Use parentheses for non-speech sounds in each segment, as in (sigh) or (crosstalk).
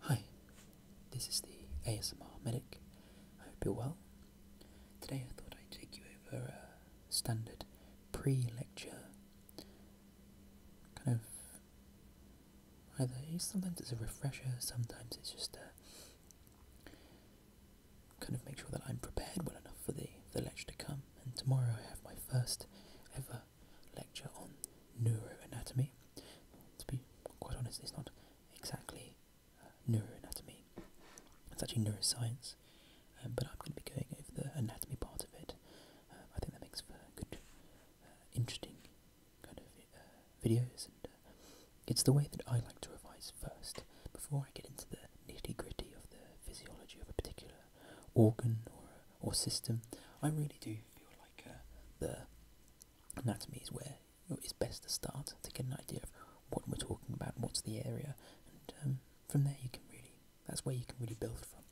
Hi, this is the ASMR Medic. I hope you're well. Today I thought I'd take you over a standard pre lecture kind of either sometimes it's a refresher, sometimes it's just a kind of make sure that I'm prepared well enough for the, the lecture to come. And tomorrow I have my first ever lecture on neuroanatomy. To be quite honest, it's not exactly uh, neuroanatomy, it's actually neuroscience, um, but I'm going to be going over the anatomy part of it. Uh, I think that makes for good, uh, interesting kind of videos, and it's the way that I like to revise first before I get into the nitty gritty of the physiology of a particular organ or, or system. I really do feel like uh, the anatomy is where it's best to start to get an idea of what we're talking about, what's the area, and um, from there you can really, that's where you can really build from.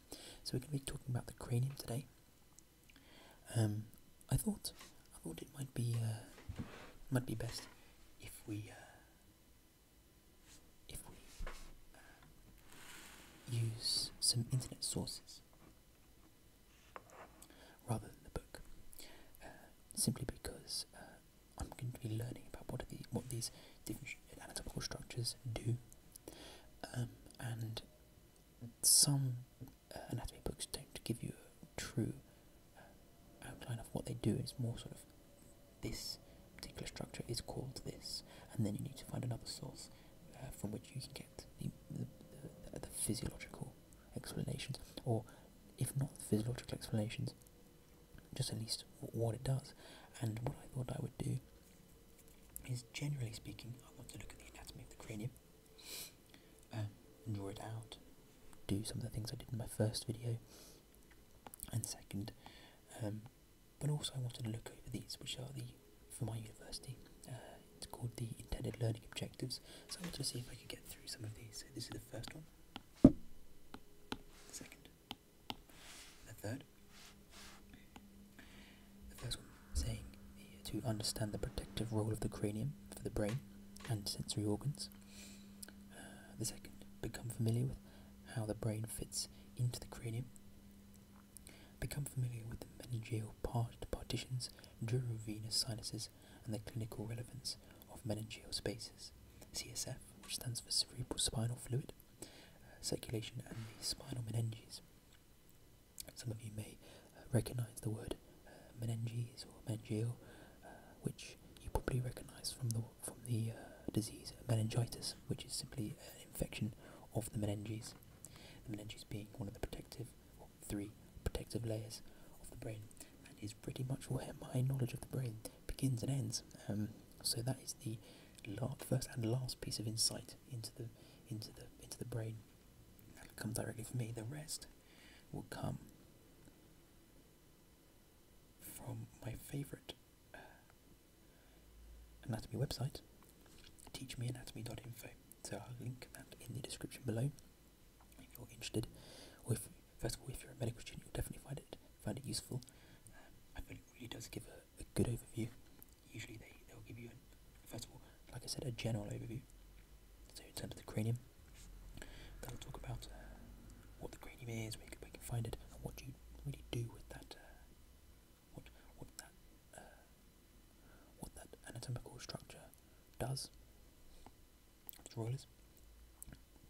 So we're going to be talking about the cranium today. Um, I thought, I thought it might be, uh, might be best if we, uh, if we uh, use some internet sources rather than the book, uh, simply because uh, I'm going to be learning about what these anatomical structures do, um, and some anatomy books don't give you a true outline of what they do. It's more sort of this particular structure is called this, and then you need to find another source uh, from which you can get the, the, physiological explanations, or if not physiological explanations, just at least what it does. And what I thought I would do is, generally speaking, I want to look at the anatomy of the cranium, uh, and draw it out, do some of the things I did in my first video, and second, um, but also, I wanted to look over these, which are the for my university. Uh, it's called the intended learning objectives. So I wanted to see if I could get through some of these. So this is the first one, the second, the third. The first one saying to understand the protective role of the cranium for the brain and sensory organs. Uh, the second, become familiar with how the brain fits into the cranium. Become familiar with the meningeal part partitions, durovenous sinuses, and the clinical relevance of meningeal spaces. CSF, which stands for cerebral spinal fluid, uh, circulation, and the spinal meninges. Some of you may uh, recognize the word uh, meninges or meningeal, which you probably recognize from the from the disease meningitis, which is simply an infection of the meninges. The meninges being one of the protective, three protective layers of the brain, and is pretty much where my knowledge of the brain begins and ends. Um, so that is the first and last piece of insight into the into the into the brain. That'll come directly from me. The rest will come from my favourite uh, anatomy website, teachmeanatomy.info. So I'll link that in the description below if you're interested, or if first of all, if you're a medical student, you'll definitely find it find it useful. Um, I feel it really does give a, good overview. Usually they they'll give you an, first of all, like I said, a general overview. So in terms of the cranium, that'll talk about uh, what the cranium is, where you, can, find it, and what you really do with that uh, what what that uh, what that anatomical structure does Its role is,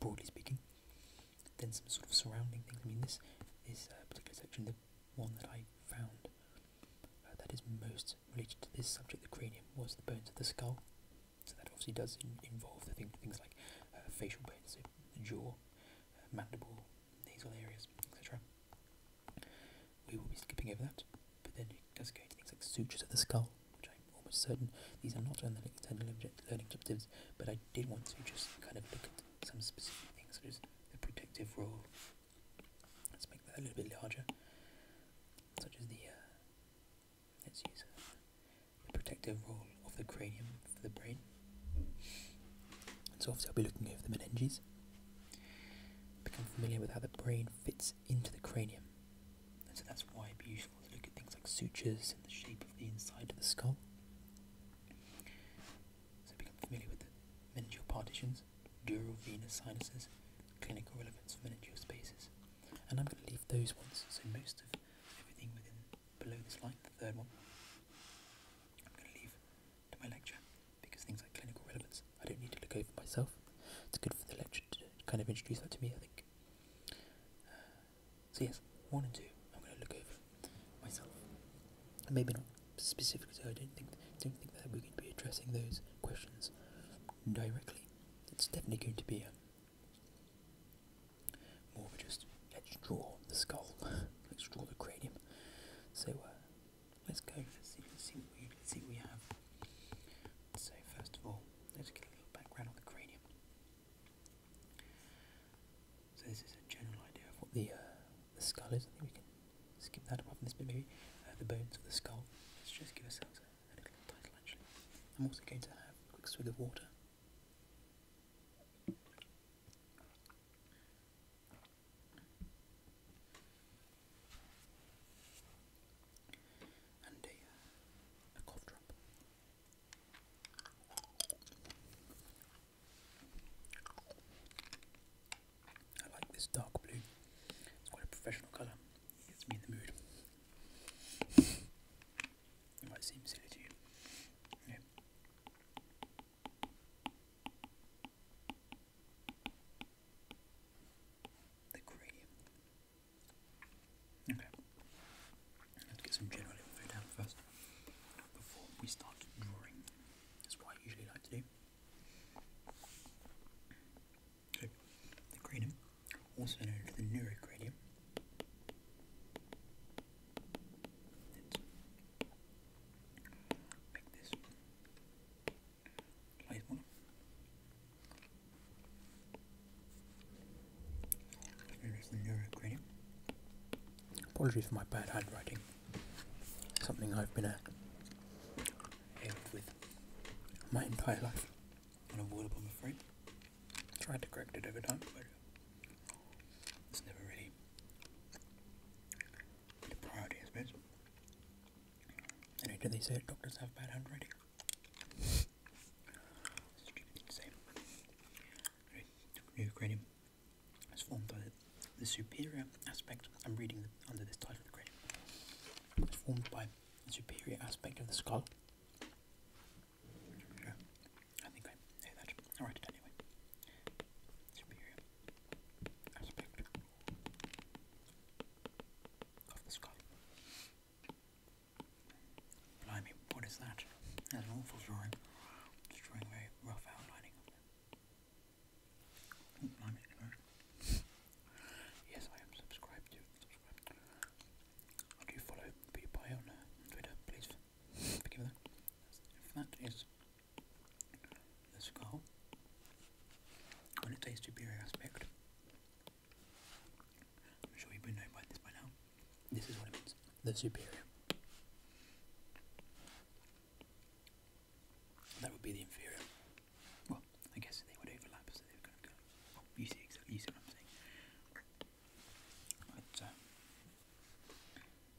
broadly speaking. Then some sort of surrounding things. I mean, this is a particular section, the one that I found uh, that is most related to this subject, the cranium, was the bones of the skull. So that obviously does involve the thing, things like uh, facial bones, so jaw, mandible, nasal areas, etc. We will be skipping over that, but then it does go into things like sutures of the skull, which I'm almost certain these are not external learning objectives, but I did want to just kind of look at some specific things, such as the protective role. Let's make that a little bit larger, such as the, uh, let's use uh, the protective role of the cranium for the brain so obviously I'll be looking over the meninges, become familiar with how the brain fits into the cranium. And so that's why it'd be useful to look at things like sutures and the shape of the inside of the skull. So become familiar with the meningeal partitions, dural venous sinuses, clinical relevance for meningeal spaces. And I'm going to leave those ones, so most of everything within below this line, the third one, I'm going to leave to my lecture because things like clinical relevance I don't need to look over myself. It's good for the lecture to kind of introduce that to me, I think. so, yes, one and two, I'm going to look over myself. Maybe not specifically, so I don't think, don't think that we're going to be addressing those questions directly. It's definitely going to be a um, more just let's draw the skull, (laughs) let's draw the cranium. So, uh, Let's go. Let's see. Let's see what we let's see what we have. So first of all, let's get a little background on the cranium. So this is a general idea of what the uh, the skull is. I think we can skip that up from this bit maybe. Uh, the bones of the skull. Let's just give ourselves a, a little title actually. I'm also going to have a quick swig of water and uh, a, cough drop. I like this dark blue. It's quite a professional colour. It gets me in the mood. might seem silly to you. The gradient. Okay. Let's get some general info down first before we start drawing. That's what I usually like to do. So, the gradient, also known as the neurogradient, it's Make Apologies for my bad handwriting. Something I've been held uh, with my entire life. i Tried to correct it every time, but it's never really the priority, I suppose. Anyway, they say doctors have bad handwriting? Stupid thing to say. new cranium is formed by the superior aspect. I'm reading under this title It's formed by the superior aspect of the skull. I think I know that. i anyway. Superior aspect what is that? That's an awful drawing. Just rough outlining of Yes, I am subscribed to. Subscribed. I follow PewDiePie on uh, Twitter, please forgive That is the skull on its a superior aspect. I'm sure you would know by this by now. This is what it means. The superior. That would be the inferior. Well, I guess they would overlap, so they would kind of go. you see exactly. You see what I'm saying. But um,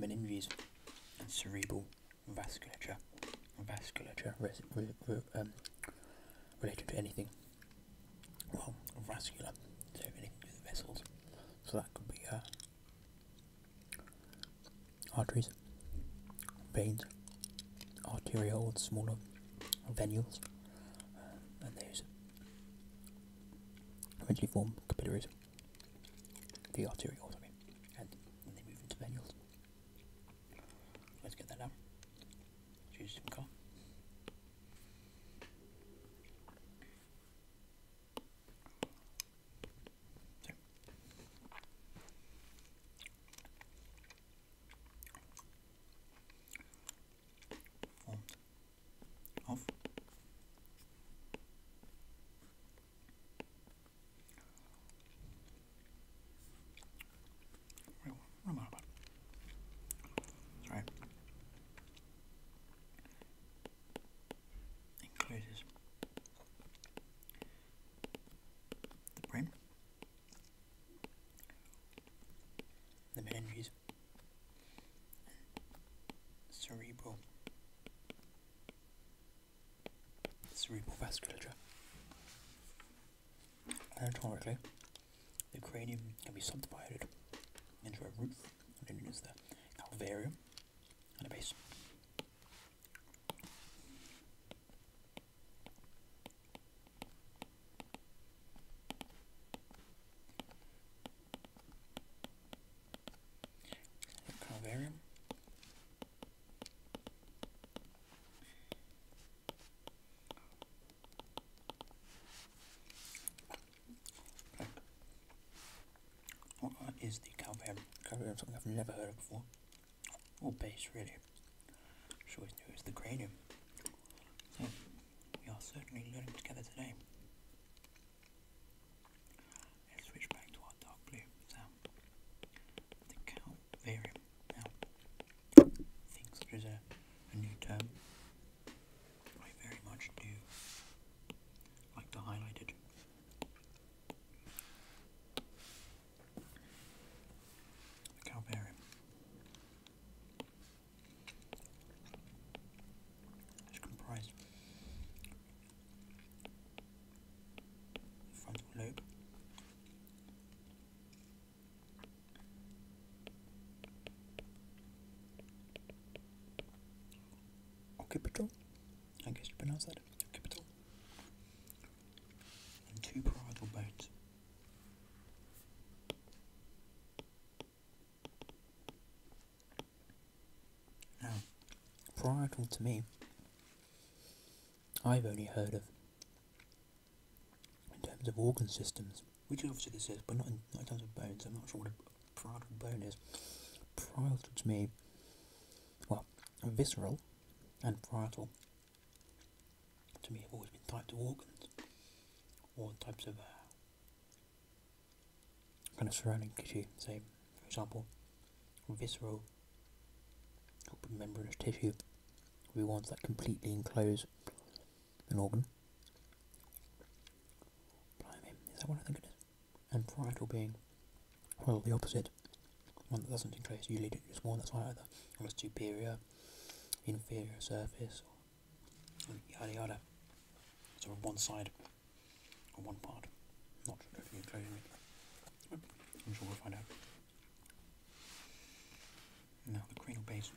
meninges, and cerebral vasculature, vasculature um, related to anything. Well, vascular, so anything to do vessels. So that could be uh, arteries, veins, arterioles, smaller venules, and those eventually form capillaries the arterioles, okay, and when they move into venules. Let's get that down. Choose some color. Off. what Includes the brain, the meninges cerebral cerebral vasculature. Anatomically, the cranium can be subdivided into a roof, known as the calvarium, and a base. Calvarium. is the Calvarium? Calvarium something I've never heard of before. Or base, really. Which always knew it's the cranium. we are certainly learning together today. Let's switch back to our dark blue. So, the cow Now, I think there is a, new term. I very much do like the highlighted. The comprised frontal lobe occipital I guess you pronounce that occipital and two parietal bones now, varietal to me, I've only heard of in terms of organ systems, which obviously this is, but not in, terms of bones. I'm not sure what a parietal bone is. Parietal to me, well, visceral and parietal to me have always been types of organs or types of uh, kind of surrounding tissue, say, for example, visceral membranous tissue will be ones that completely enclose an organ. Blimey, is that what I think it is? And parietal being, well, the opposite, one that doesn't enclose usually just one that's either on a superior, inferior surface, or yada yada, sort of one side on one part. Not totally enclosing it. I'm sure we'll find out. Now the cranial base.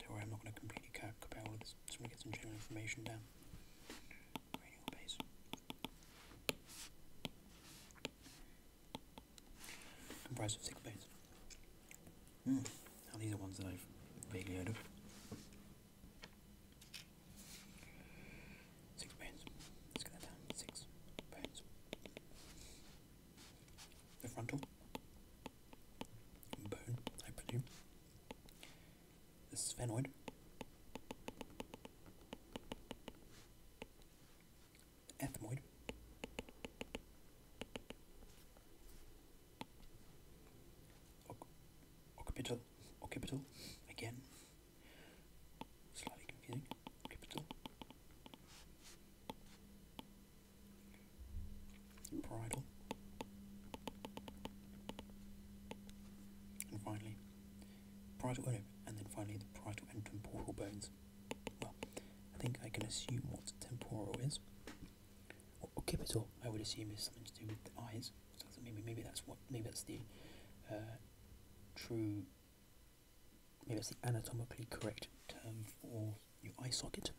Don't worry, I'm not going to completely cap all of this. Just want to get some general information down. Cranial base. Comprised of six bases. Mm. Now these are ones that I've vaguely heard of. Six bones. Let's get down. Six bones. The frontal bone, I presume. The sphenoid. ethmoid. Occipital, occipital, again. Slightly confusing. Occipital. Bridle. And finally, parietal oh no, and then finally the parietal and temporal bones. Well, I think I can assume what temporal is or Kipitor, I would assume it's something to do with the eyes. maybe maybe that's what maybe that's the uh, true maybe that's the anatomically correct term for your eye socket.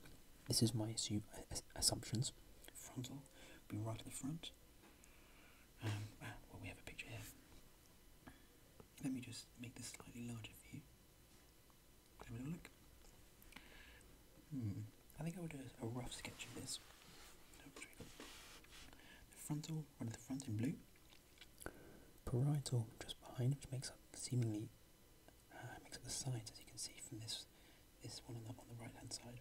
This is my assume, assumptions. Frontal we're right at the front. Um, ah, well, we have a picture here. Let me just make this slightly larger for you. Have a look. Hmm. I think I would do a rough sketch of this. The frontal, one of the front in blue. Parietal just behind, which makes up seemingly uh, makes up the sides, as you can see from this this one on the right hand side.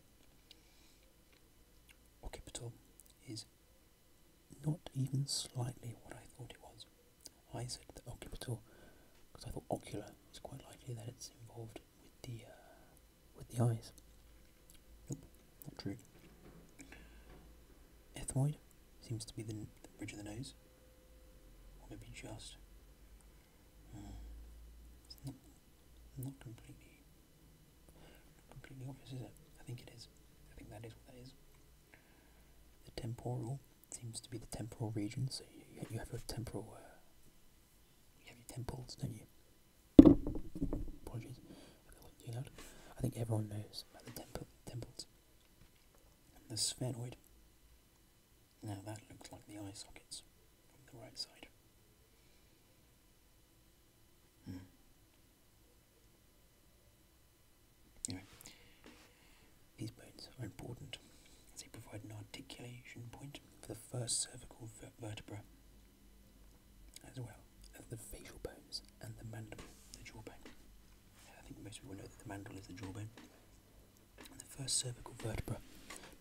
Occipital is not even slightly what I thought it was. I said the occipital because I thought ocular. was quite likely that it's involved with the uh, with the eyes. Nope, not true. Ethmoid seems to be the, bridge of the nose, or maybe just. Hmm, it's not not completely completely obvious, is it? I think it is. I think that is what that is. The temporal seems to be the temporal region, so you, have a temporal uh, you have your temples, don't you? Apologies if that wasn't too loud. I think everyone knows about the temple, temples. the sphenoid. Now that looks like the eye sockets from the right side. Hmm. Anyway, these bones are important as they provide an articulation point for the first cervical vertebra, as well as the facial bones and the mandible, the jawbone. I think most people know that the mandible is the jawbone. And the first cervical vertebra.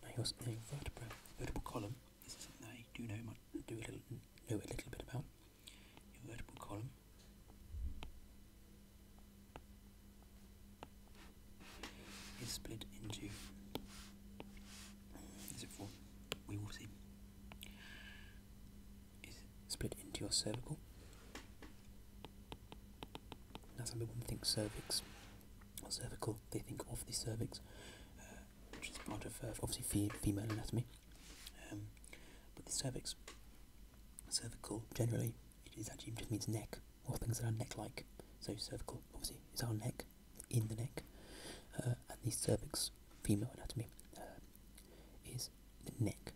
Now, your vertebra, vertebral column, this is something I do know, much, do a little, know a little bit about. Your vertebral column is split into is it four? We will see. Is split into your cervical. Now some people think cervix or cervical, they think of the cervix, uh, which is part of uh, obviously female anatomy. Um, but the cervix, cervical generally, it is actually just means neck or things that are neck-like. So cervical obviously is our neck in the neck uh, and the cervix, female anatomy, uh, is the neck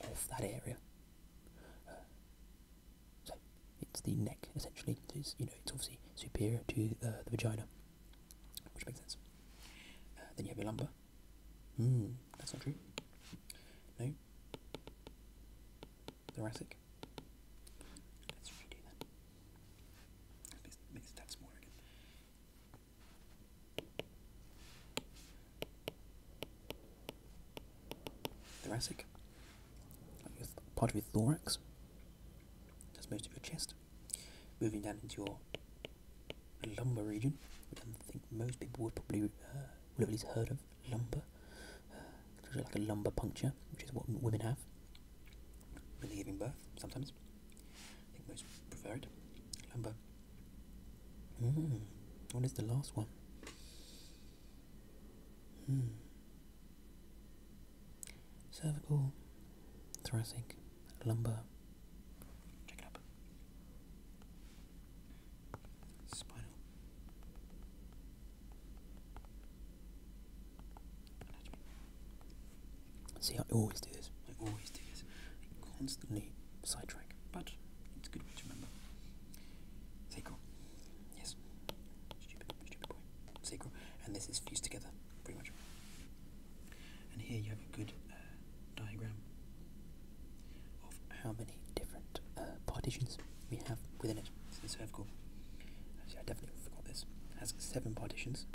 of that area. Uh, so it's the neck essentially. It's you know it's obviously superior to the vagina, which makes sense. then you have your lumbar. Hmm, that's not true. No. Thoracic let Thoracic. part of your thorax. That's most of your chest. Moving down into your lumbar region, which I think most people would probably, uh, at least heard of. Lumbar like a lumbar puncture, which is what women have when they're giving birth sometimes. I think most prefer it. Lumbar. Hmm. What is the last one? Hmm. Cervical, thoracic, lumbar. Check it up. Spinal. See, I always do this. I always do this. I constantly sidetrack, but it's good to remember. Sacral. Yes. Stupid, stupid boy. Sacral. And this is fused together, pretty much. And here you have a good uh, diagram of how many different uh, partitions we have within it, so the cervical, actually I definitely forgot this, has seven partitions.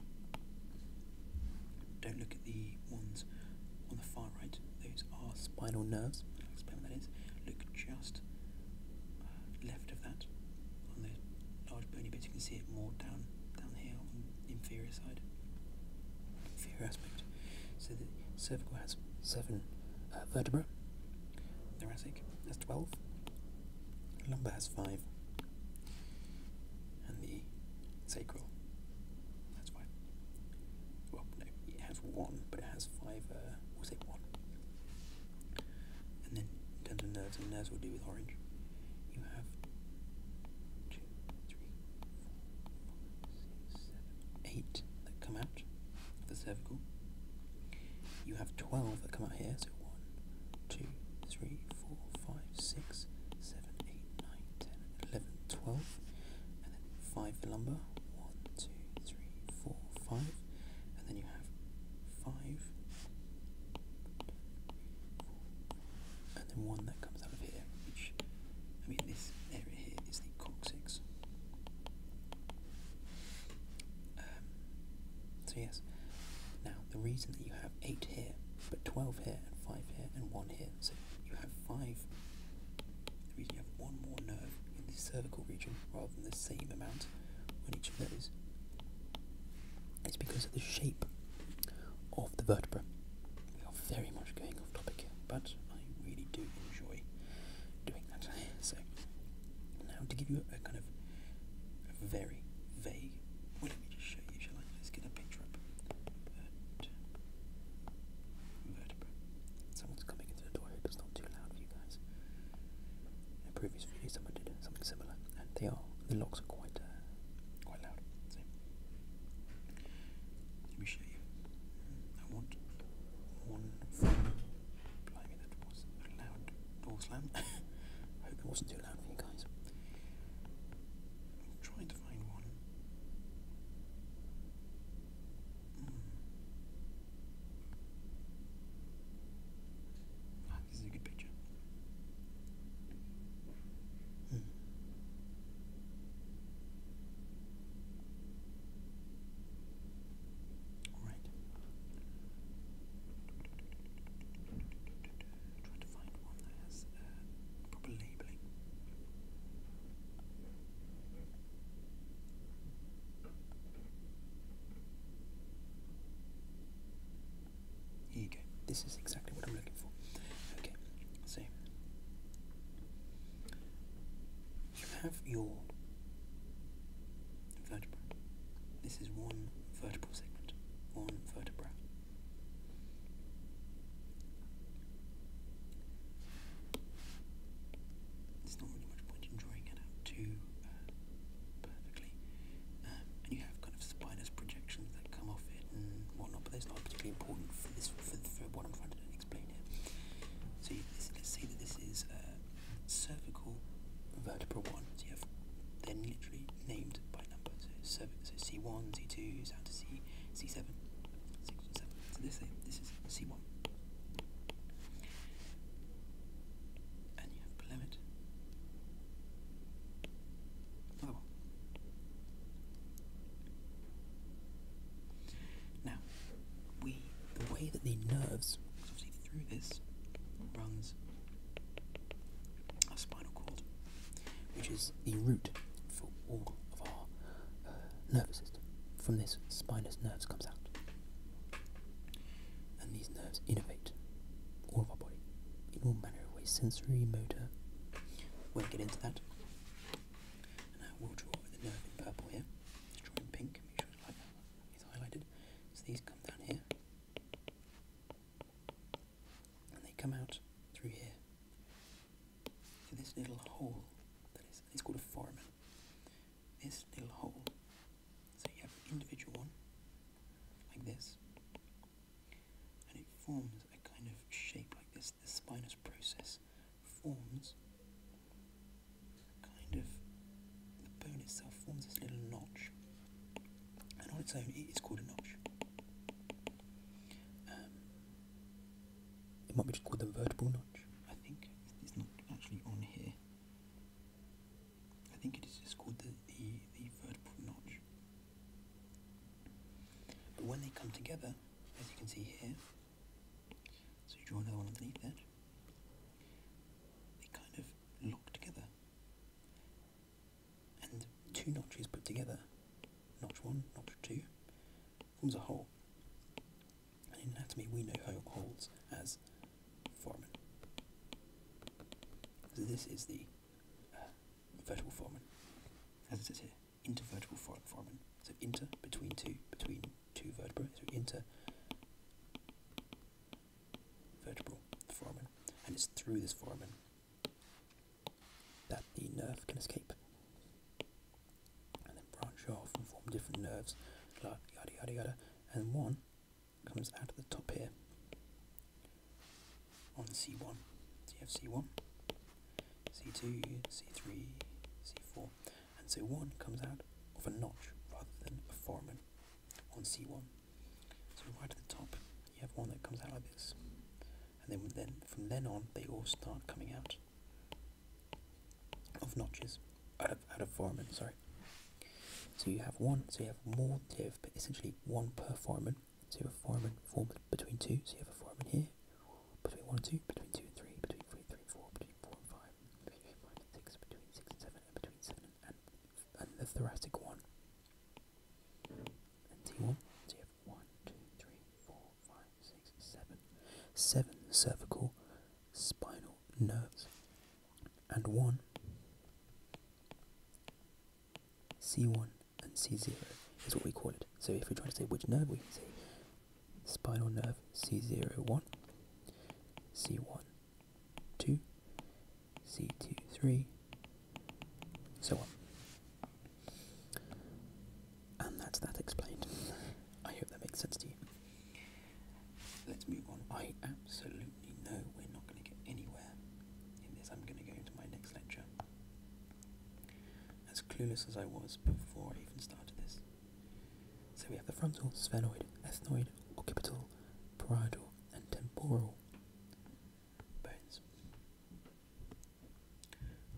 Don't look at the ones on the far right, those are spinal nerves, I'll explain what that is. Look just uh, left of that, on the large bony bit, you can see it more down, down here on the inferior side, inferior aspect. So the cervical has seven uh, vertebra, thoracic has 12, lumbar has five, and the sacral has five. Well, no, it has one, but it has five. Uh, we'll say one. And then in terms of nerves, and nerves will do with orange. You have two, three, four, five, six, seven, eight that come out the cervical. You have 12 that come out here, so 1, 2, 3, 4, 5, 6, 7, 8, 9, 10, 11, 12, and then 5 for lumber, 1, 2, 3, 4, 5, and then you have 5, and then 1 that comes out of here, which, I mean this area here is the coccyx. Um, so yes, now the reason that you have 8 here, but 12 here, and 5 here, and 1 here, so you have 5, the reason you have one more nerve in the cervical region rather than the same amount on each of those is because of the shape of the vertebra. We are very much going off topic here, but I really do enjoy doing that. (laughs) So, now to give you a kind of very vague. let me just show you, shall Let's get a picture up. Vert Someone's coming into the door. I it's not too loud for you guys. In a previous video, someone did something similar, and they are the locks are quite uh, quite loud. let me show you. I want one sorry that was a loud door slam. (laughs) Hope it wasn't too loud for you guys. trying to find one. Hmm. Ah, this is a good picture. Hmm. Alright. Try to find one that has uh, proper labeling. Here you go. This is exactly what I'm looking for. Okay, so you have your vertebra. This is one vertebral segment, one vertebra. There's not really much point in drawing it out too uh, perfectly. Um, and you have kind of spinous projections that come off it and whatnot, but that's not particularly important for this for, what I'm trying to explain here. So let's say this is. Uh, cervical vertebra 1. So you have then literally named by numbers. So, C1, C2, down to C, C7, 6 and 7. So this, is C1. And you have Plymouth. Another Now, we, the way that the nerves, obviously through this, runs our spinal cord, which is the root for all of our uh, nervous system. From this, spinal nerves comes out, and these nerves innervate all of our body in all manner of ways, sensory, motor. Won't get into that. And I will draw the nerve in purple here. Let's draw in pink. Make sure it's, like that. it's highlighted. So these come down here and they come out through here For this little hole that is it's called a foramen. This little hole. So you have an individual one like this, and it forms a kind of shape like this. The spinous process forms kind of the bone itself forms this little notch and on its own it is called a notch. Um, it might be just called the vertebral notch, I think. It's not actually on here. I think it is just called the, the, the vertebral notch. But when they come together, as you can see here, so you draw another one underneath that, they kind of lock together and two notches put together, notch one, notch two, forms a hole. And in anatomy, we know how it holds as foramen. So this is the uh, vertebral foramen, as it says here, intervertebral foramen. So inter between two, between two vertebrae. So inter vertebral foramen, and it's through this foramen that the nerve can escape and then branch off and form different nerves, yada yada yada, and one comes out of the top here on C1. So you have C1, C2, C3, C4, and so one comes out of a notch rather than a foramen on C1. So right at the top, you have one that comes out like this, and then from then on, they all start coming out of notches, out of out of foramen. Sorry. So you have one, so you have more, so but essentially one per foramen. So you have a foramen formed between two, so you have a foramen here, between one and two, between two and three, between three and four, between four and five, between five and six, between six and seven, and between seven and and the thoracic one. And T1, so you cervical spinal nerves, and 1 C1 and C0 is what we call it. So if we're trying to say which nerve, we can say spinal nerve C01, C1 two, C two three, so on. And that's that explained. I hope that makes sense to you. Let's move on. I absolutely know we're not going to get anywhere in this. I'm going to go into my next lecture. As clueless as I was before I even started this. So we have the frontal, sphenoid, ethmoid, occipital, parietal, and temporal bones.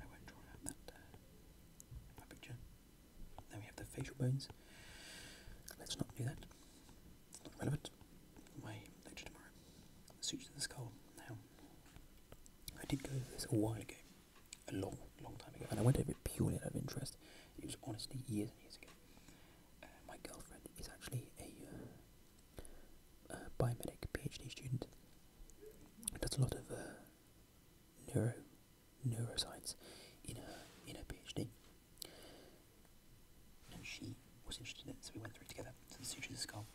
I won't draw out that, uh, Then we have the facial bones. Let's not do that. It's not relevant. My lecture tomorrow. suture the skull. Now, I did go over this a while ago, a long, long time ago, and I went over it purely out of interest. It was honestly years and years ago. Uh, my girlfriend is actually a, uh, uh, biomedical PhD student. Does a lot of neuro neuroscience in her in her PhD, and she was interested in it, so we went through it together. So the sutures of the skull.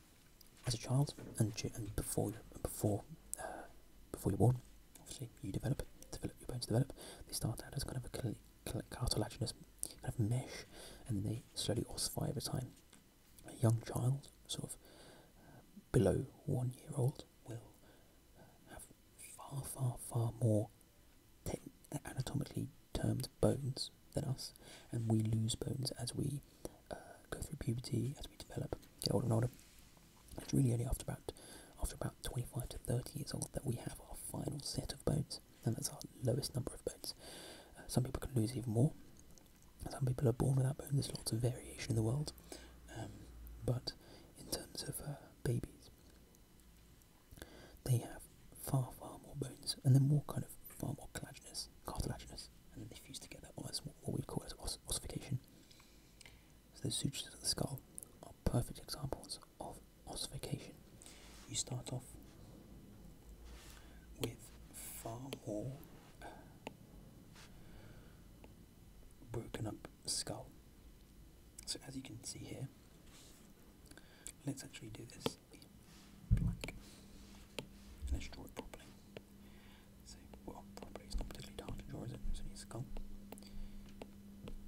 As a child, and and before before before you're born, obviously you develop develop your bones develop. They start out as kind of a cartilaginous kind of mesh, and they slowly ossify over time. A young child, sort of uh, below one year old, will have far, far, far more anatomically termed bones than us, and we lose bones as we uh, go through puberty, as we develop, get older and older. It's really only after about after about 25 to 30 years old that we have our final set of bones and that's our lowest number of bones. Uh, some people can lose even more. Some people are born without bones. There's lots of variation in the world, um, but in terms of uh, babies, they have far far more bones, and they're more kind of far more collagenous, cartilaginous, and then they fuse together. that's what we call as ossification. So the sutures of the skull are perfect examples of ossification. You start off with far more uh, broken up skull. So as you can see here, let's actually do this black. let's draw it properly. So, well, properly, it's not particularly hard to draw, is it? It's only skull.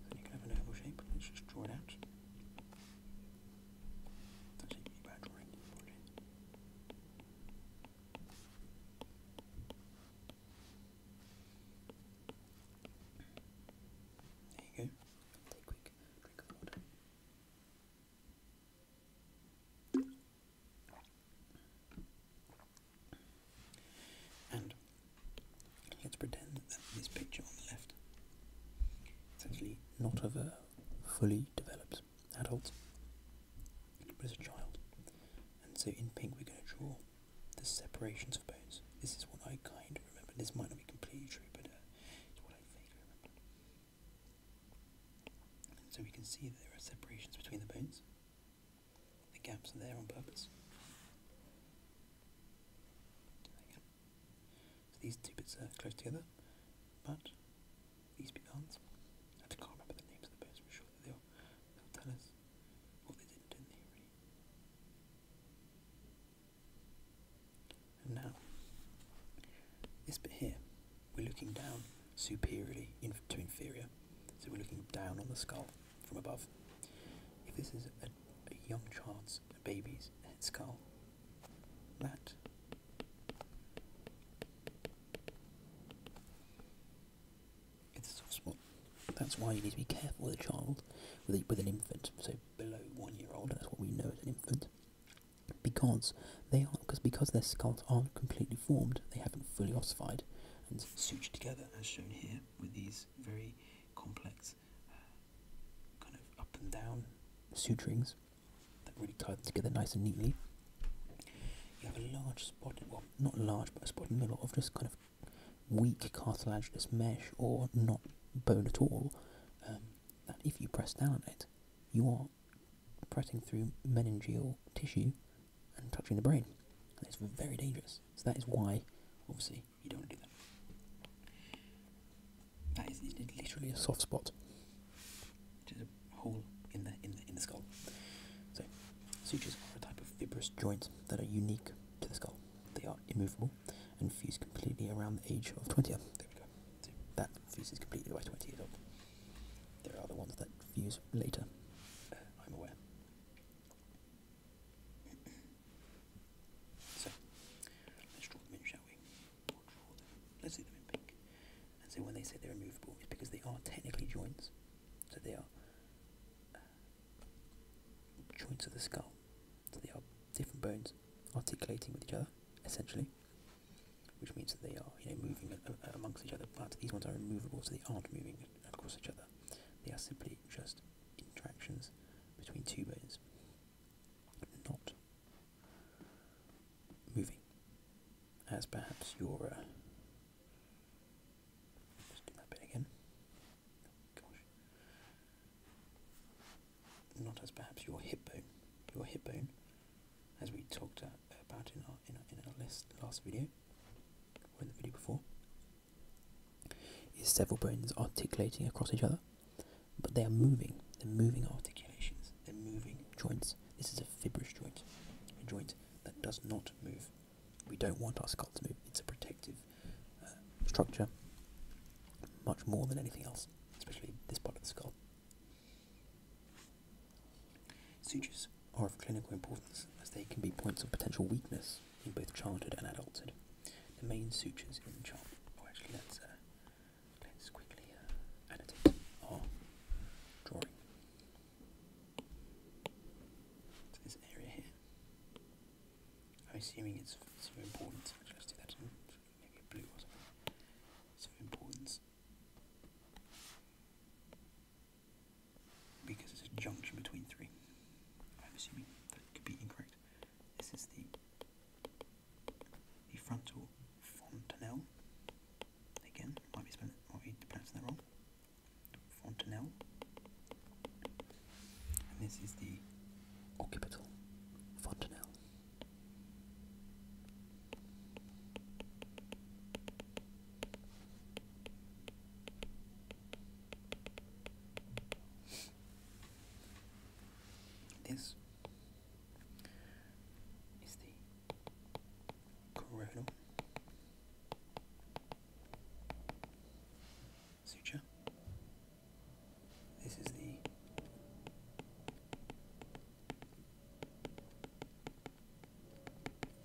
Then you can have an oval shape. Let's just draw it out. There you go. Take a quick drink of water. And Let's pretend that this picture on the left is actually not of a fully developed adult, but as a child. And so in pink we're going to draw the separations of bones. This is what I kind of remember. This might not be completely true, but uh, it's what I vaguely remember. so we can see that there are separations between the bones. The gaps are there on purpose. So these two bits are close together, but these bits aren't. I can't remember the names of the birds, I'm sure they'll, tell us what they did, not they, And now, this bit here, we're looking down superiorly into inferior, so we're looking down on the skull from above. If this is a young child's, a baby's skull, that. It's soft spot. That's why you need to be careful with a child, with, with an infant, so below one year old, that's what we know as an infant. Because they are, because because their skulls aren't completely formed, they haven't fully ossified and sutured together, as shown here with these very complex uh, kind of up and down suturings that really tie them together nice and neatly. You have a large spot, well, not large, but a spot in the middle of just kind of weak cartilaginous mesh or not bone at all. Um, that if you press down on it, you are pressing through meningeal tissue and touching the brain. And it's very dangerous. So that is why, obviously, you don't do that. That is literally a soft spot. It is a hole in the in the in the skull. So sutures are a type of fibrous joint that are unique to the skull. They are immovable and fuse completely around the age of twenty. There we go. that fuses completely by twenty years old. There are the ones that fuse later. Uh, I'm aware. So let's draw them in, shall we? Let's see them in pink. And so when they say they're removable, it's because they are technically joints. So they are uh, joints of the skull. So they are different bones articulating with each other, essentially. Which means that they are, you know, moving uh, uh, amongst each other. But these ones are removable, so they aren't moving across each other. They are simply just interactions between two bones not moving as perhaps your uh, just do that bit again. Gosh. Not as perhaps your hip bone. Your hip bone, as we talked about in our in our, in last video or the video before, is several bones articulating across each other. But they are moving. They're moving articulations. They're moving joints. This is a fibrous joint, a joint that does not move. We don't want our skull to move. It's a protective uh, structure, much more than anything else, especially this part of the skull. Sutures are of clinical importance as they can be points of potential weakness in both childhood and adulthood. The main sutures in chop, or oh, actually let's, uh, quickly annotate uh, our oh, drawing. So this area here, I'm assuming it's so important, let's do that in maybe blue or something. So importance. Because it's a junction between three. I'm assuming that could be incorrect. This is the frontal fontanelle. Again, might be spelling might be pronouncing that wrong. Fontanelle. this is the occipital fontanelle. This is the coronal suture. This is the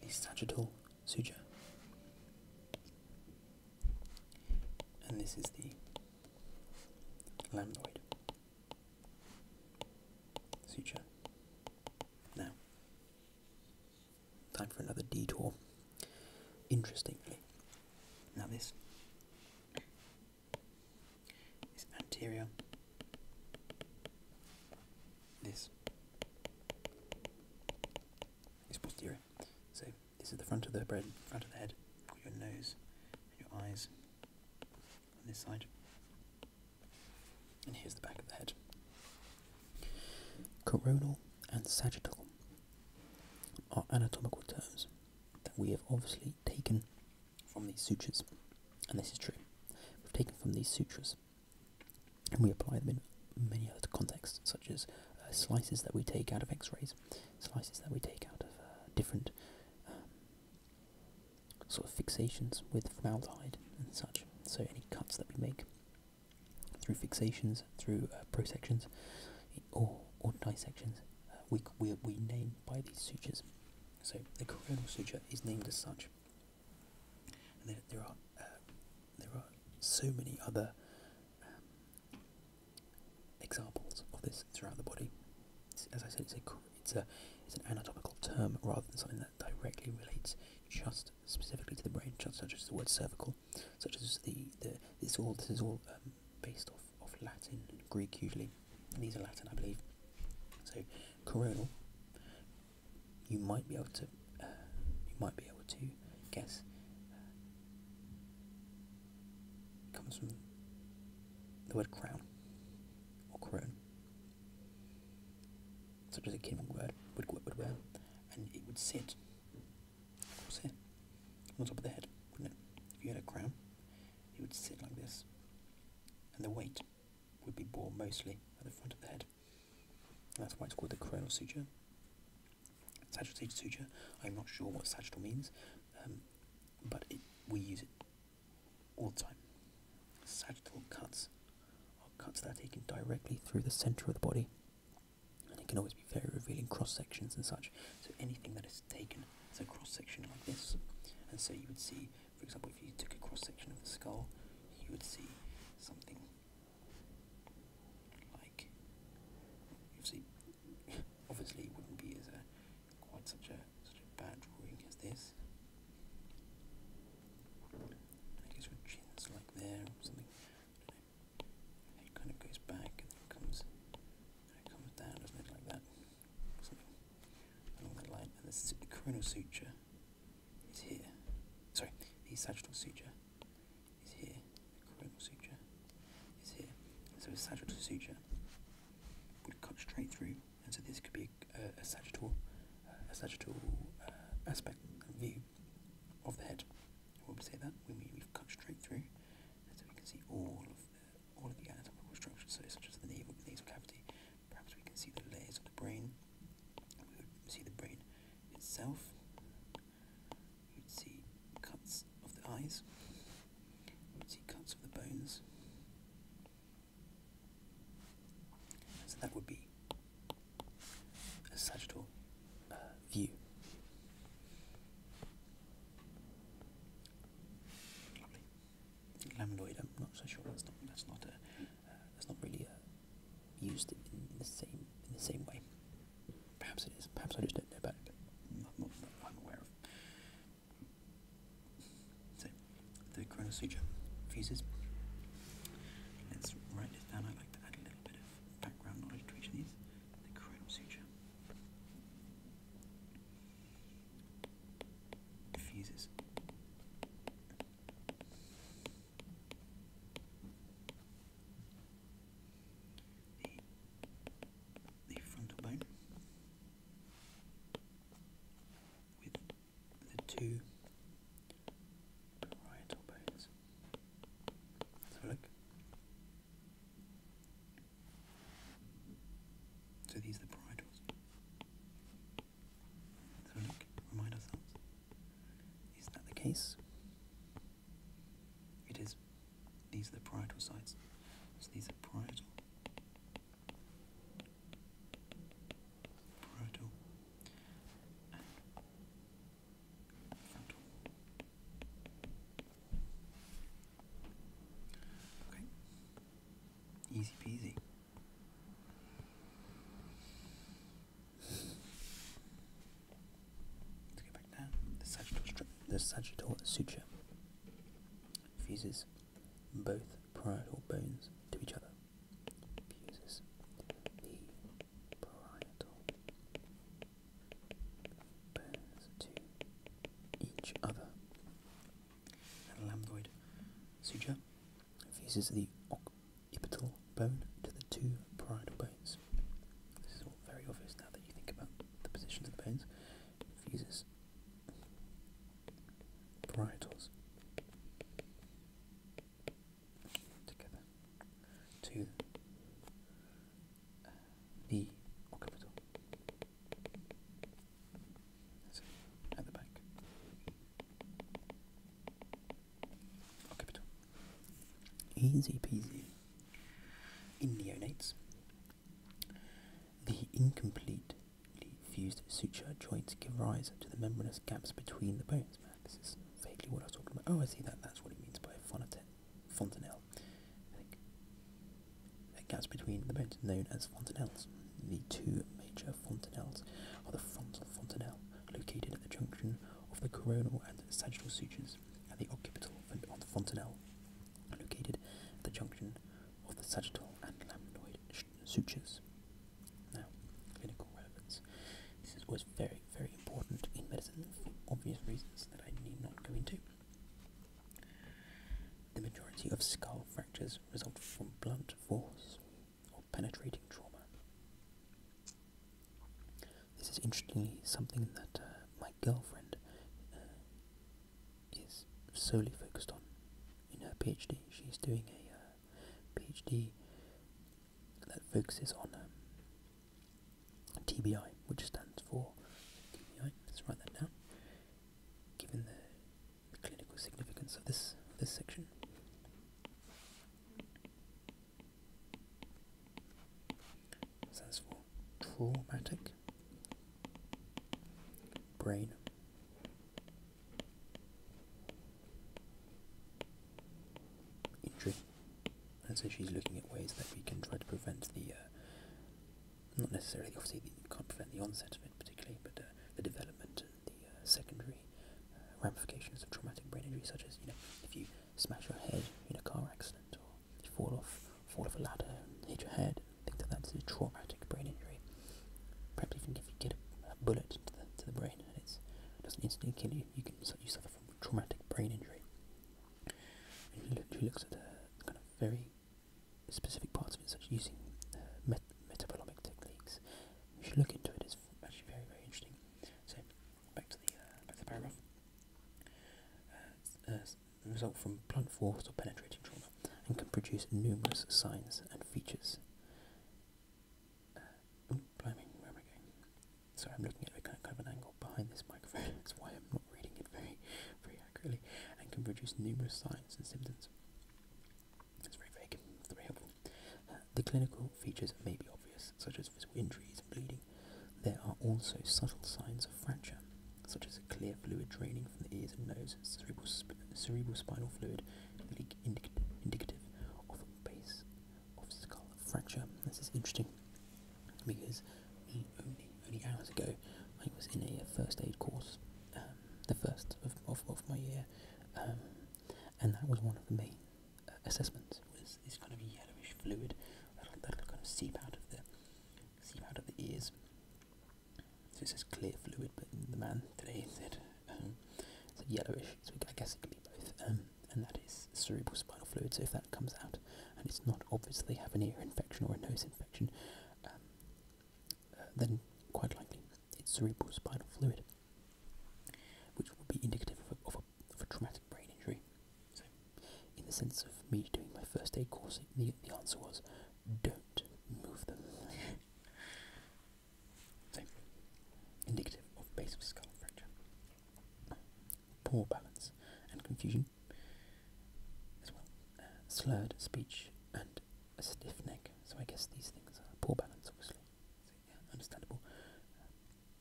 the sagittal suture. And this is the Laminoid. Suture. Now, time for another detour. Interestingly, now this is anterior. This is posterior. So this is the front of the bread, front of the head. Got your nose, your eyes on this side. And here's the back of the head. Coronal and sagittal are anatomical terms that we have obviously taken from these sutures. And this is true. We've taken from these sutures and we apply them in many other contexts, such as uh, slices that we take out of x rays slices that we take out of uh, different um, sort of fixations with formaldehyde and such. So any cuts that we make through fixations, through uh, prosections, or, or dissections, uh, we, we, we name by these sutures. So the coronal suture is named as such. And then there are there are so many other um, examples of this throughout the body. as I said, it's a it's a it's an anatomical term rather than something that directly relates just specifically to the brain, just such as the word cervical, such as the the this all this is all um, based off of Latin and Greek usually. these are Latin, I believe. So coronal, you might be able to uh, you might be able to guess. Uh, comes from the word crown or coron. such as a king would wear, would, would wear, and it would sit, of course, on top of the head, wouldn't it? If you had a crown, it would sit like this, and the weight would be borne mostly at the front of the head. that's why it's called the coronal suture. Sagittal suture. I'm not sure what sagittal means. Um, but we use it all the time. Sagittal cuts are cuts that are taken directly through the centre of the body, and it can always be very revealing cross sections and such. So anything that is taken as a cross section like this, and so you would see, for example, if you took a cross section of the skull, you would see something like obviously, (laughs) obviously, it wouldn't be as a quite such a such a bad drawing as this. I guess your chin's like there something. It kind of goes back and then comes and it comes down, doesn't like that? along that line. And the coronal suture is here. Sorry, the sagittal suture is here. coronal suture is here. so the sagittal suture would cut straight through, and so this could be a, sagittal, a sagittal uh, aspect view of the head. We'll say that we mean we've cut straight through, and so we can see all of the, all of the anatomical structures, so such as the navel, nasal cavity. Perhaps we can see the layers of the brain. We would see the brain itself. We would see cuts of the eyes. See cuts of the bones. So that would be a sagittal uh, view. Lovely. I'm not so sure. That's not. That's not a. Uh, that's not really a, uh, used in the same in the same way. Perhaps it is. Perhaps I just don't know about it. I'm aware of. So the coronal suture fuses. Let's write this down. I like to add a little bit of background knowledge to each of these. The coronal suture fuses. The, frontal bone with the two parietal bones. let look. So these are the parietals. let look, remind ourselves. Is that the case? It is. These are the parietal sites. So these are parietal. Parietal. And frontal. Okay. Easy peasy. Let's go back down. The sagittal strip, the sagittal suture fuses both parietal bones to each other. Fuses the parietal bones to each other. And lambdoid suture fuses the occipital bone to the two parietal bones. This is all very obvious now that you think about the positions of the bones. fuses varietals together to uh, the capital That's it, at the back capital easy peasy in neonates the incompletely fused suture joints give rise to the membranous gaps between the bones. Man, this is vaguely what I was talking about. Oh, I see that. That's what it means by fontanelle. I think. The between the bones, known as fontanelles. The two major fontanelles are the frontal fontanelle, located at the junction of the coronal and sagittal sutures, and the occipital fontanelle, located at the junction of the sagittal and laminoid sutures. Now, clinical relevance. This is always very, very important in medicine for obvious reasons that I need not go into. The majority of skull fractures result from blunt force or penetrating trauma. This is interestingly something that uh, my girlfriend uh, is solely focused on. In her PhD, she's doing a uh, PhD that focuses on um, TBI, which stands for TBI. Let's write that down. Given the, clinical significance of this this section. Stands for traumatic brain. Injury. And so she's looking at ways that we can try to prevent the, uh, not necessarily, obviously, you can't prevent the onset of it particularly, but uh, the development and the uh, secondary ramifications of traumatic brain injury, such as, you know, if you smash your head in a car accident or fall off, fall off a ladder, hit your head, Think that. that's a traumatic brain injury. Perhaps even if you get a, bullet to the, to the brain and it doesn't instantly kill you, you can you suffer from traumatic brain injury. And looks at the kind of very specific parts of it, such using uh, met metabolomic techniques. You should look into it. It's actually very very interesting. So back to the uh, back to the paragraph. Uh, uh, result from blunt force or penetrating trauma and can produce numerous signs and features. Uh, where am I going? Sorry, I'm looking at kind of, an angle behind this microphone, (laughs) that's why I'm not reading it very, very accurately, and can produce numerous signs and symptoms. It's very vague, very helpful. Uh, the clinical features may be obvious, such as physical injuries and bleeding. There are also subtle signs of fracture, such as a clear fluid draining from the ears and nose, cerebral, spinal fluid, indic- indicative of base of skull fracture. This is interesting because only, only hours ago I was in a first aid course, um, the first of, of, my year, um, and that was one of the main uh, assessments was this kind of yellowish fluid that kind of seep out of the seep out of the ears this is clear fluid, but the man today said um, it's yellowish, so I guess it could be both. Um, and that is cerebral spinal fluid. So if that comes out and it's not obviously having an ear infection or a nose infection, um, uh, then quite likely it's cerebral spinal fluid, which would be indicative of a, of a, of a traumatic brain injury. So, in the sense of me doing my first aid course, the, the answer was don't move them. so, indicative of basal skull fracture. Poor balance and confusion, as well. Uh, slurred speech and a stiff neck. So, I guess these things are poor balance, obviously. understandable.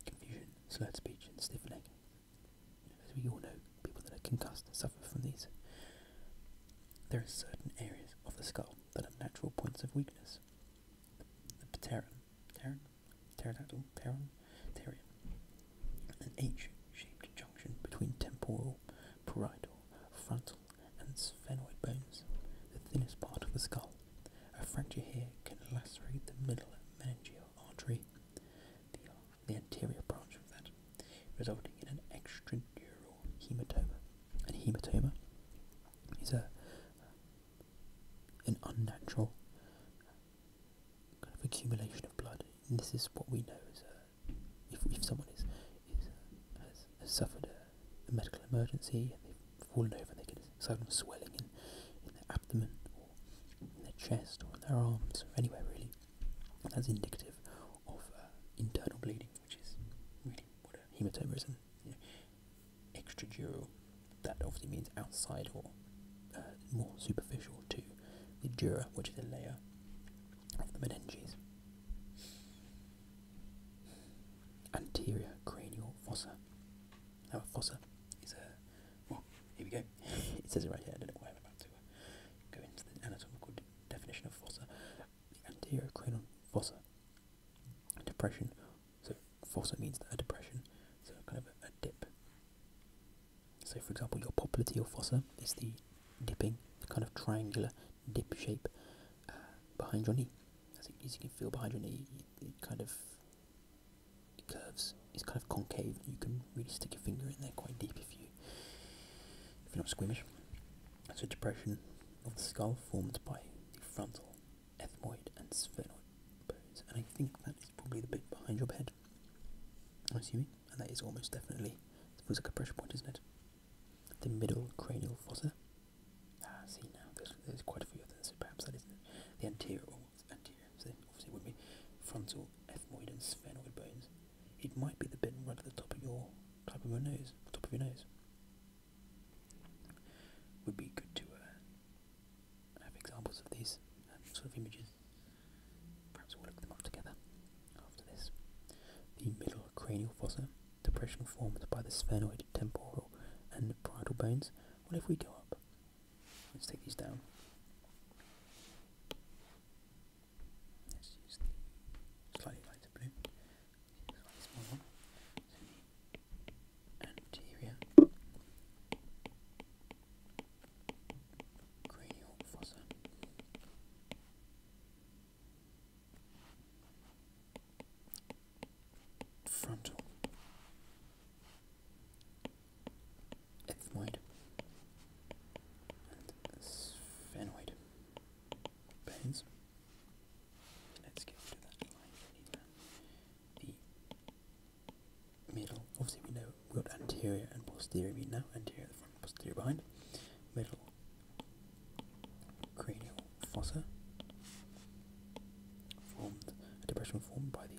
confusion, slurred speech, and stiff neck. As we all know, people that are concussed suffer from these. There are certain areas of the skull that are natural points of weakness. The pteron, pteron, pterodactyl, pteron, pterium, an H-shaped junction between temporal, parietal, frontal, and sphenoid bones, the thinnest part of the skull. A fracture here can lacerate the middle meningeal artery, the anterior branch of that, resulting in an extraneural hematoma. And hematoma is a an unnatural kind of accumulation of blood. And this is what we know as uh, if, if someone is, is has, suffered a, medical emergency and they've fallen over and they get a sudden swelling in, in their abdomen or in their chest or in their arms or anywhere really, that's indicative of uh, internal bleeding, which is really what a hematoma is. And, extradural, that obviously means outside or uh, more superficial to the dura, which is a layer of the meninges. Anterior cranial fossa. Now, fossa is a. Well, here we go. (laughs) it says it right here. I don't know why I'm about to uh, go into the anatomical definition of fossa, the anterior cranial fossa. Depression, so fossa means that a depression, so kind of a, dip. So, for example, your popliteal fossa is the dipping, kind of triangular dip shape uh, behind your knee. As, it, as you can feel behind your knee, it, kind of curves, it's kind of concave. You can really stick your finger in there quite deep if you if you're not squeamish. It's a depression of the skull formed by the frontal, ethmoid, and sphenoid bones, and I think that is probably the bit behind your head. I'm assuming, and that is almost definitely it feels a pressure point, isn't it? The middle cranial fossa. Ah, see now, there's, quite a few of those, so perhaps that isn't The anterior, anterior, so obviously it would be frontal, ethmoid, and sphenoid bones it might be the bit right at the top of your top of your nose, top of your nose. Would be good to uh, have examples of these um, sort of images. Perhaps we'll look them up together after this. The middle cranial fossa, depression formed by the sphenoid temporal and parietal bones. What if we go up? Let's take these down. Let's use slightly lighter blue. This one, this anterior cranial Frontal ethmoid and sphenoid. Let's get rid that line. the middle. Obviously, we know we've got anterior and posterior. We know anterior at the front, posterior behind. Middle cranial fossa formed depression formed by the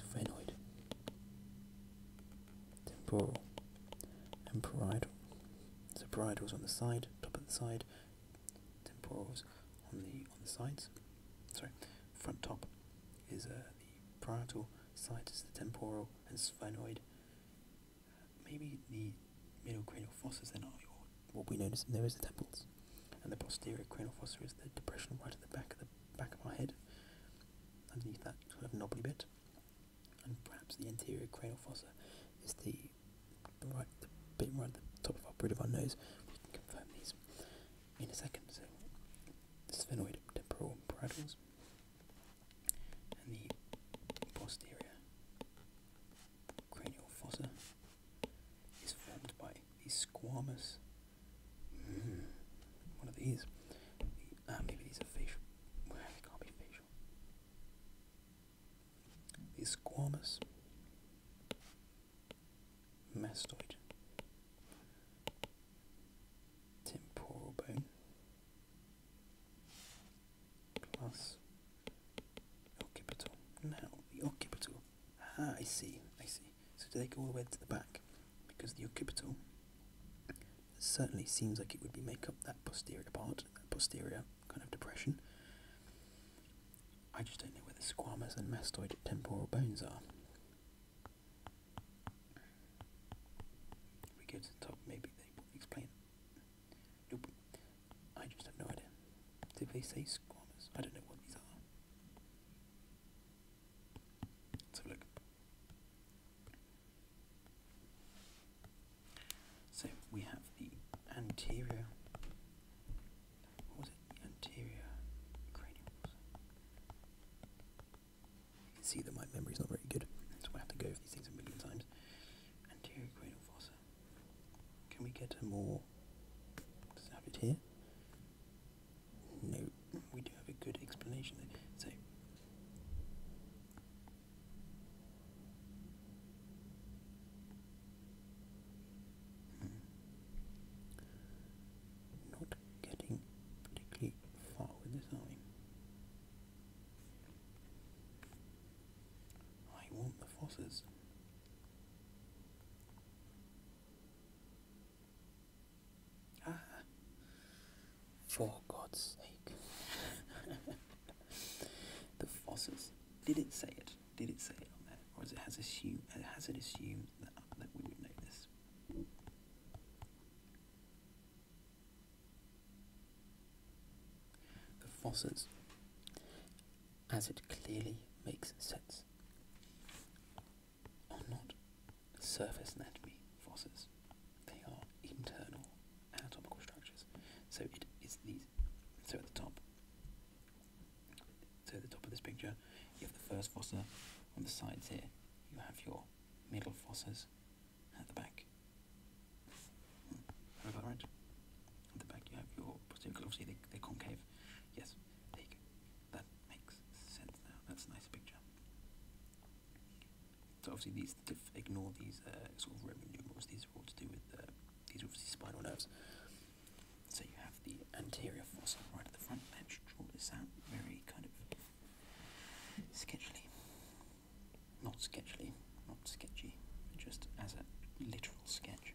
sphenoid temporal and parietal. So parietal's on the side, top of the side, temporals on the on the sides. Sorry, front top is uh, the parietal, side is the temporal and sphenoid. Maybe the middle cranial fossa is then what we notice there is the temples. And the posterior cranial fossa is the depression right at the back of the back of our head, underneath that sort of knobbly bit and perhaps the anterior cranial fossa is the right bit right at the top of our bridge of our nose. We can confirm these in a second. So the sphenoid temporal paratals and the posterior cranial fossa is formed by these squamous mm, one of these. The, uh, maybe these are facial well, it mastoid temporal bone plus occipital. Now the occipital. Ah, I see. I see. So do they go all the way to the back? because the occipital certainly seems like it would be make up that posterior part, that posterior kind of depression. I just don't know where the squamous and mastoid temporal bones are. If we go to the top, maybe they will explain. Nope. I just have no idea. Did they say squamous? I don't know what these are. Let's have a look. So we have the anterior. What was it? The anterior cranial. You can see that my memory's not very good, so I have to go over these things a million times. Anterior cranial fossa. Can we get a more? Does it have here? No we do have a good explanation there. So hmm, not getting particularly far with this are I want the fosses. Ah, for God's sake. (laughs) the fossils. Did it say it? Did it say it Or is it has assumed, uh, has it assumed that, we would know this? The fossils. As it clearly makes sense. Or not surface anatomy fossils. They are internal anatomical structures. So it is these. So at the top, so at the top of this picture, you have the first fossa. On the sides here, you have your middle fossas at the back. Am about right? At the back, you have your fossa. Obviously, they, they're concave. Yes, there you go. That makes sense now. That's a nice picture. So obviously these ignore these uh, sort of Roman numerals. These are all to do with uh, these are obviously spinal nerves. So you have the anterior fossa right at the front. Let's draw this out very kind of sketchily. Not sketchily, not sketchy, just as a literal sketch.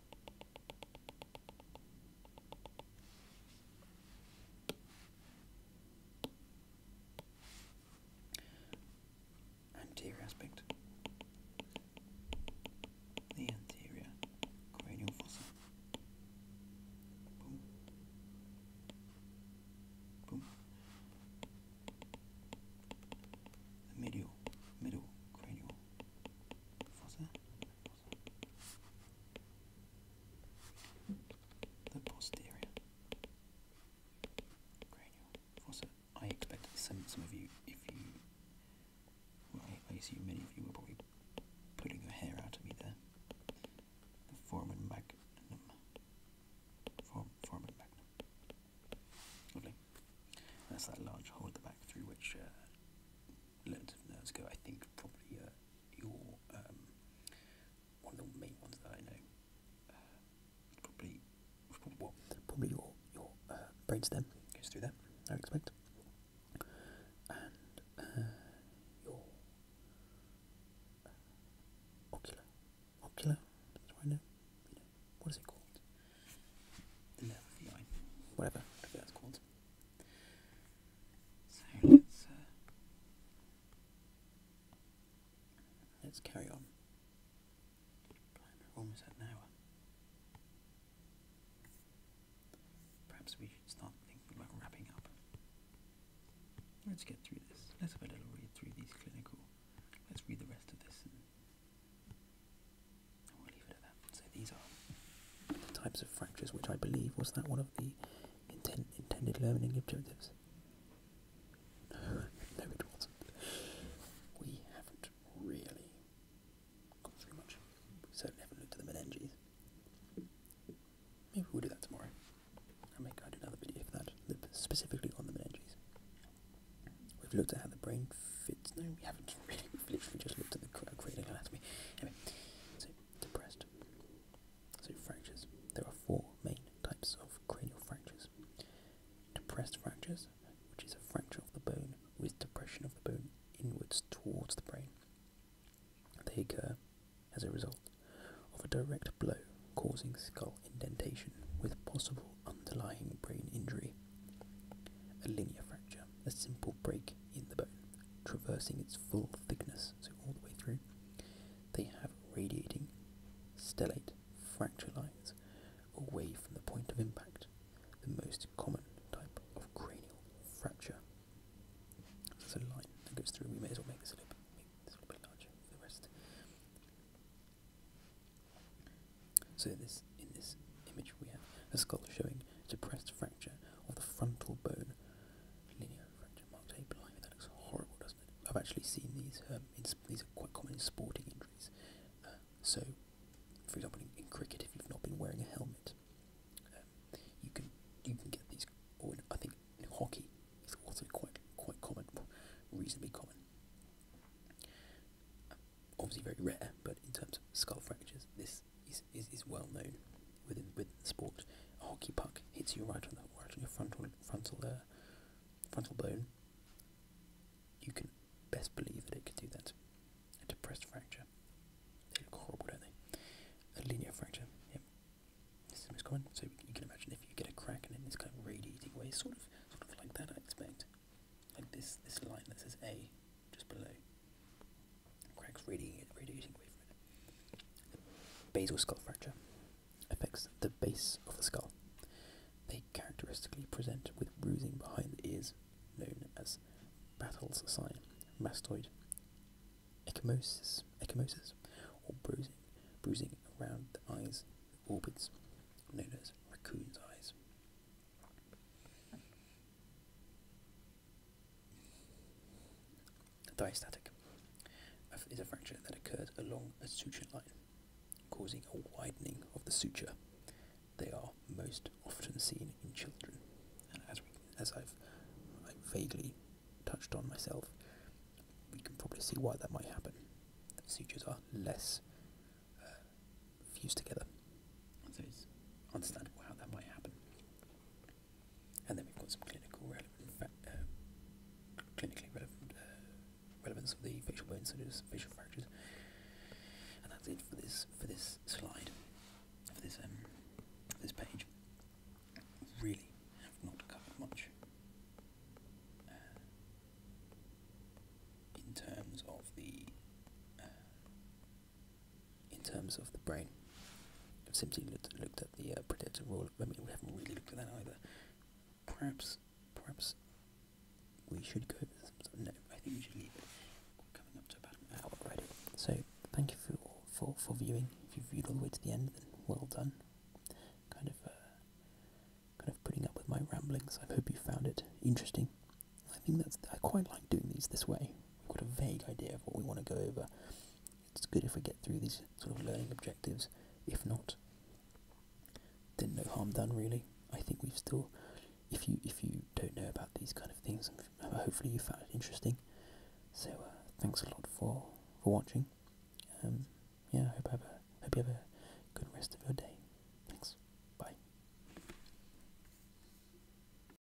Anterior aspect. The anterior cranial fossa. Boom. Boom. medial, middle cranial fossa. The posterior Also, I expect some of you, if you, I, assume many of you were probably pulling your hair out of me there. foramen magnum. Form, foramen magnum. Lovely. That's that large hole at the back through which uh, Learned of Nerds go, I think probably uh, your um, one of the main ones that I know. Uh, probably, probably, your your uh, brainstem goes through there. I expect, and your ocular, ocular. what is it called? The nerve of Whatever. Whatever that's called. So let's, uh, let's carry on. We're almost at an hour. Perhaps we should start thinking about wrapping up. Let's get through this. Let's have a little read through these clinical. Let's read the rest of this so these are the types of fractures which I believe was that one of the intended learning objectives. (laughs) No, it wasn't. We haven't really gone through much. We certainly haven't looked at the meninges. Maybe we'll do that tomorrow. I'll go i do another video for that, specifically on the meninges. We've looked at how the brain fits. No, we haven't (laughs) really. We've literally just looked at the cranial anatomy. Anyway. So, depressed. So, fractures. There are four main types of cranial fractures. Depressed fractures, which is a fracture of the bone with depression of the bone inwards towards the brain. They occur as a result of a direct blow causing skull indentation with possible underlying brain injury. A linear fracture a simple break in the bone, traversing its full thickness, so all the way through. They have radiating stellate fracture lines away from the point of impact, the most common type of cranial fracture. There's a line that goes through, we may as well make this a little bit, this a little bit larger for the rest. So this, in this image we have a skull showing depressed fracture of the frontal bone. Linear fracture marked a blind. That looks horrible, doesn't it? I've actually seen these. Um, these are quite common in sporting injuries. Uh, so, for example, in, cricket, if you've not been wearing a helmet, um, you can you can get these. Or I think hockey, is also quite quite common, reasonably common. Uh, obviously, very rare, but in terms of skull fractures, this is, is, is well known within within the sport. A hockey puck hits you right on the right on your frontal frontal uh, frontal bone. You can best believe that it can do that. A depressed fracture. They look horrible, don't they? A linear fracture. This is common. So you can imagine if you get a crack and then this kind of radiating way, sort of sort of like that I expect. Like this this line that says A just below. Crack radiating, radiating away basal skull fracture affects the base of the skull. They characteristically present with bruising behind the ears, known as Battle's sign, mastoid ecchymosis, ecchymosis or bruising, bruising around the eyes, orbits, known as raccoon's eyes. Diastatic is a fracture that occurs along a suture line, causing a widening of the suture. They are most often seen in children, and as, we, as I've, i vaguely touched on myself, we can probably see why that might happen. sutures are less uh, fused together, so it's understandable how that might happen. And then we've got some uh, clinically relevant uh, relevance of the facial bone surgeries, facial fractures. And that's it for this for this slide, for this um, this page. Really have not covered much uh, in terms of the in terms of the brain. I've simply looked, looked at the uh, predator role. I mean, we haven't really looked at that either. Perhaps, perhaps we should go over some. No, I think we should leave it. coming up to about an hour already. So, thank you for for for viewing. If you viewed all the way to the end, then well done. Kind of, uh, kind of putting up with my ramblings. I hope you found it interesting. I think that's I quite like doing these this way we've got a vague idea of what we want to go over. It's good if we get through these sort of learning objectives. If not, then no harm done really. I think we've still, if you if you don't know about these kind of things, hopefully you found it interesting. So uh, thanks a lot for for watching. Um, yeah, I hope I have a, hope you have a good rest of your day. Thanks. bye.